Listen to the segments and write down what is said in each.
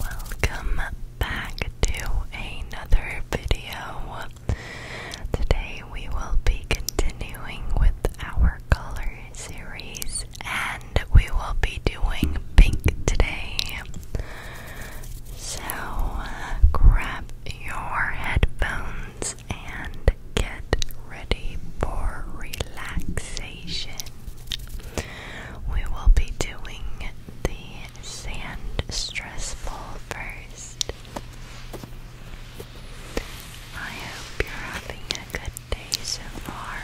Welcome back to another video. Today we will be continuing with our color series and we will be doing pink today. So uh, grab your headphones and get ready for relaxation we will be doing the sand stress ball first. I hope you're having a good day so far.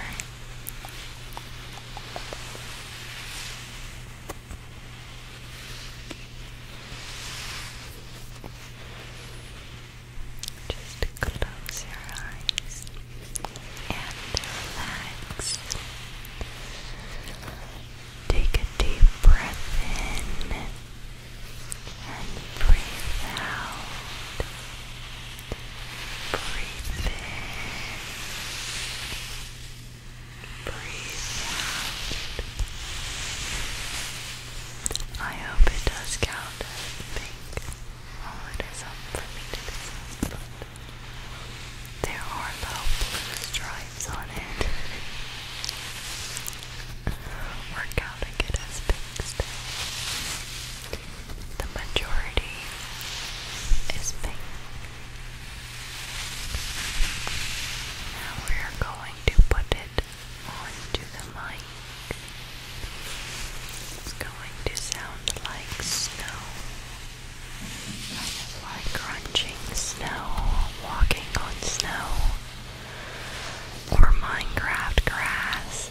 Just close your eyes and relax. Take a deep breath in and breathe out. Breathe in. Breathe out. I hope it does count as pink. Oh, it is up for me to do there are little blue stripes on it. Work out and get us fixed. The majority is pink. Now we are going to put it onto the mic. It's going to sound like snow like crunching snow, walking on snow, or Minecraft grass.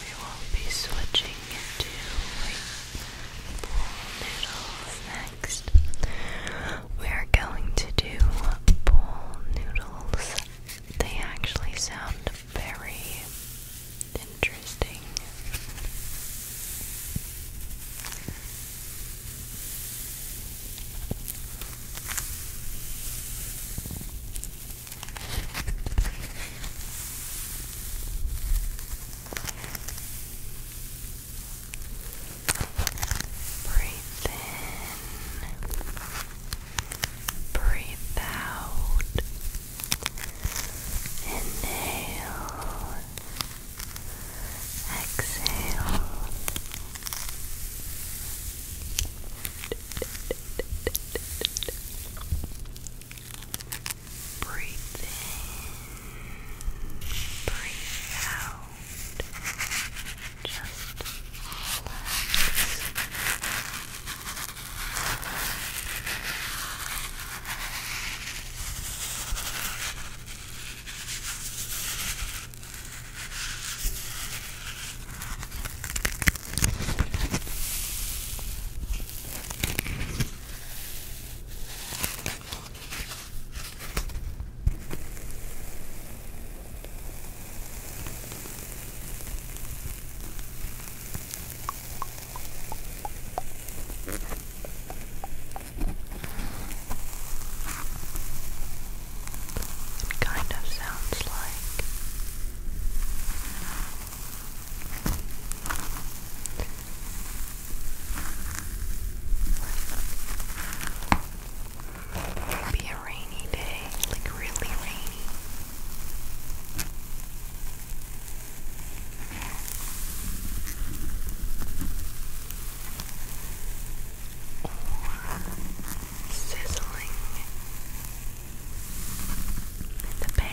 We will be switching into pool noodles next. We are going to do pool noodles. They actually sound very interesting. Breathe in, breathe out, inhale, exhale. Breathe in, breathe out. Just relax. It kind of sounds like be a rainy day, like really rainy. sizzling the band.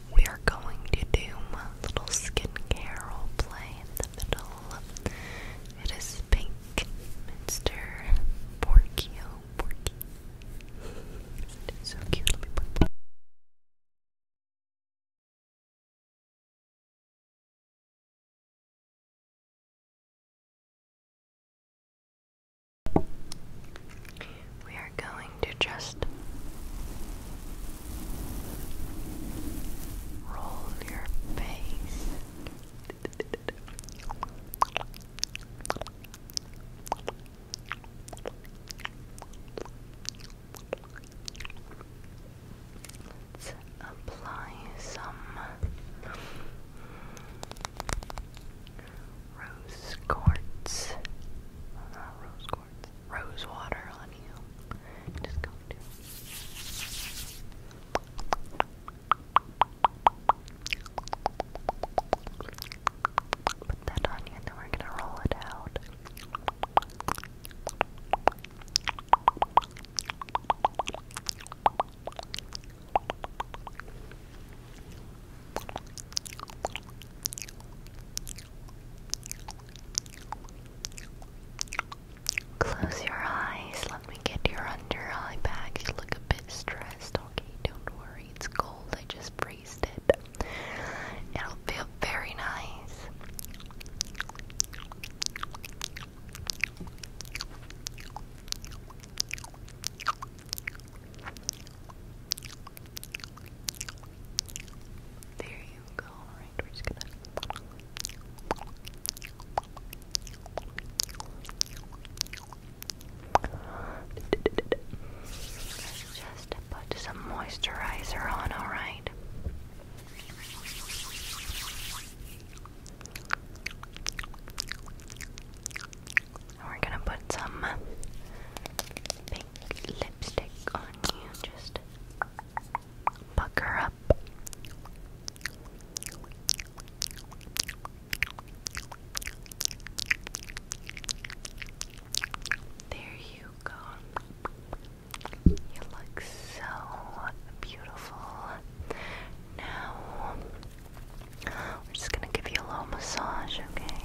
we are going to do my little skincare role play in the middle. It is pink, Mr. Porkio Porky. so cute. Let me put we are going to just roll your face. Let's apply some rose quartz. Uh, pours rose water on you. Just go to. Put that on then we're gonna roll it out. Close your eyes. Let me get your under eye bags. You look a bit stressed. Okay, don't worry. It's cold. I just breezed it. It'll feel very nice. There you go. Alright, we're just gonna. Just put some moisturizer on, alright? And we're gonna put some pink lip lipstick on you. Just pucker up. There you go. You look so beautiful. Now, we're just gonna give you a little massage much, okay? Okay.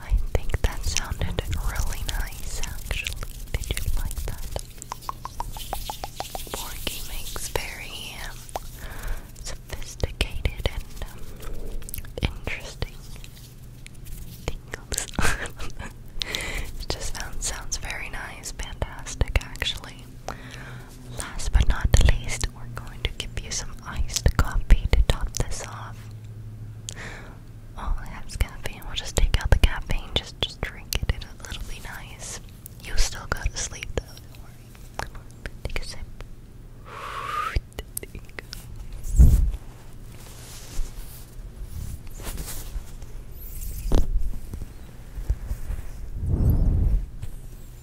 I think that sounded really nice actually. Did you like that? Porky makes very um, sophisticated and um, interesting tingles. it just sounds, sounds very nice, fantastic actually. Last but not least, we're going to give you some iced coffee to top this off. All it has caffeine. We'll just take out the caffeine, just just drink it, it'll, nice. you still go to sleep though, take a sip.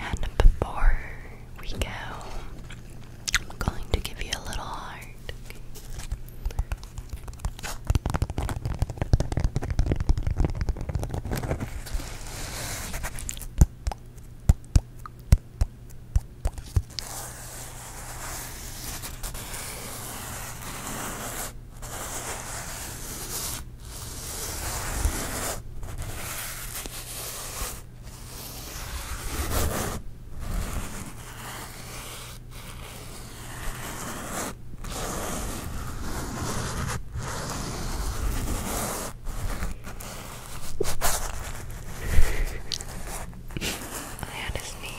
And before we go, I'm going to give you a little heart. I honestly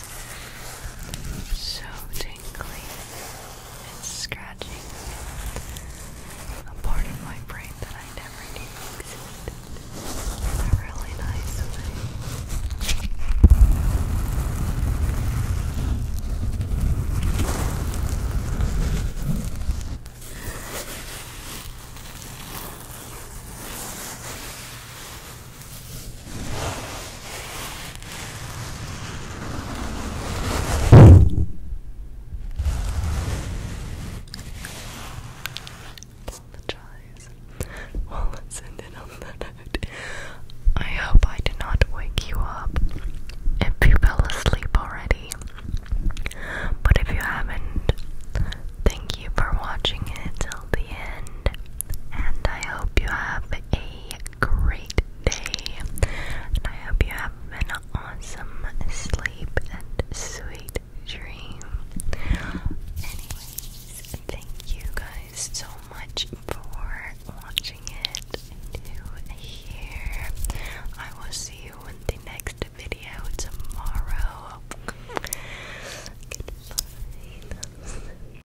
so tingly. and scratching a part of my brain that I never knew existed in a really nice way. Apologize. Well, let's end on that note. I hope I did not wake you up if you fell asleep already. But if you haven't, thank you for watching it till the end. And I hope you have a great day, I hope you have an awesome sleep and sweet dream. Anyways, thank you guys so much for watching it to here. I will see you in the next video tomorrow. Goodbye.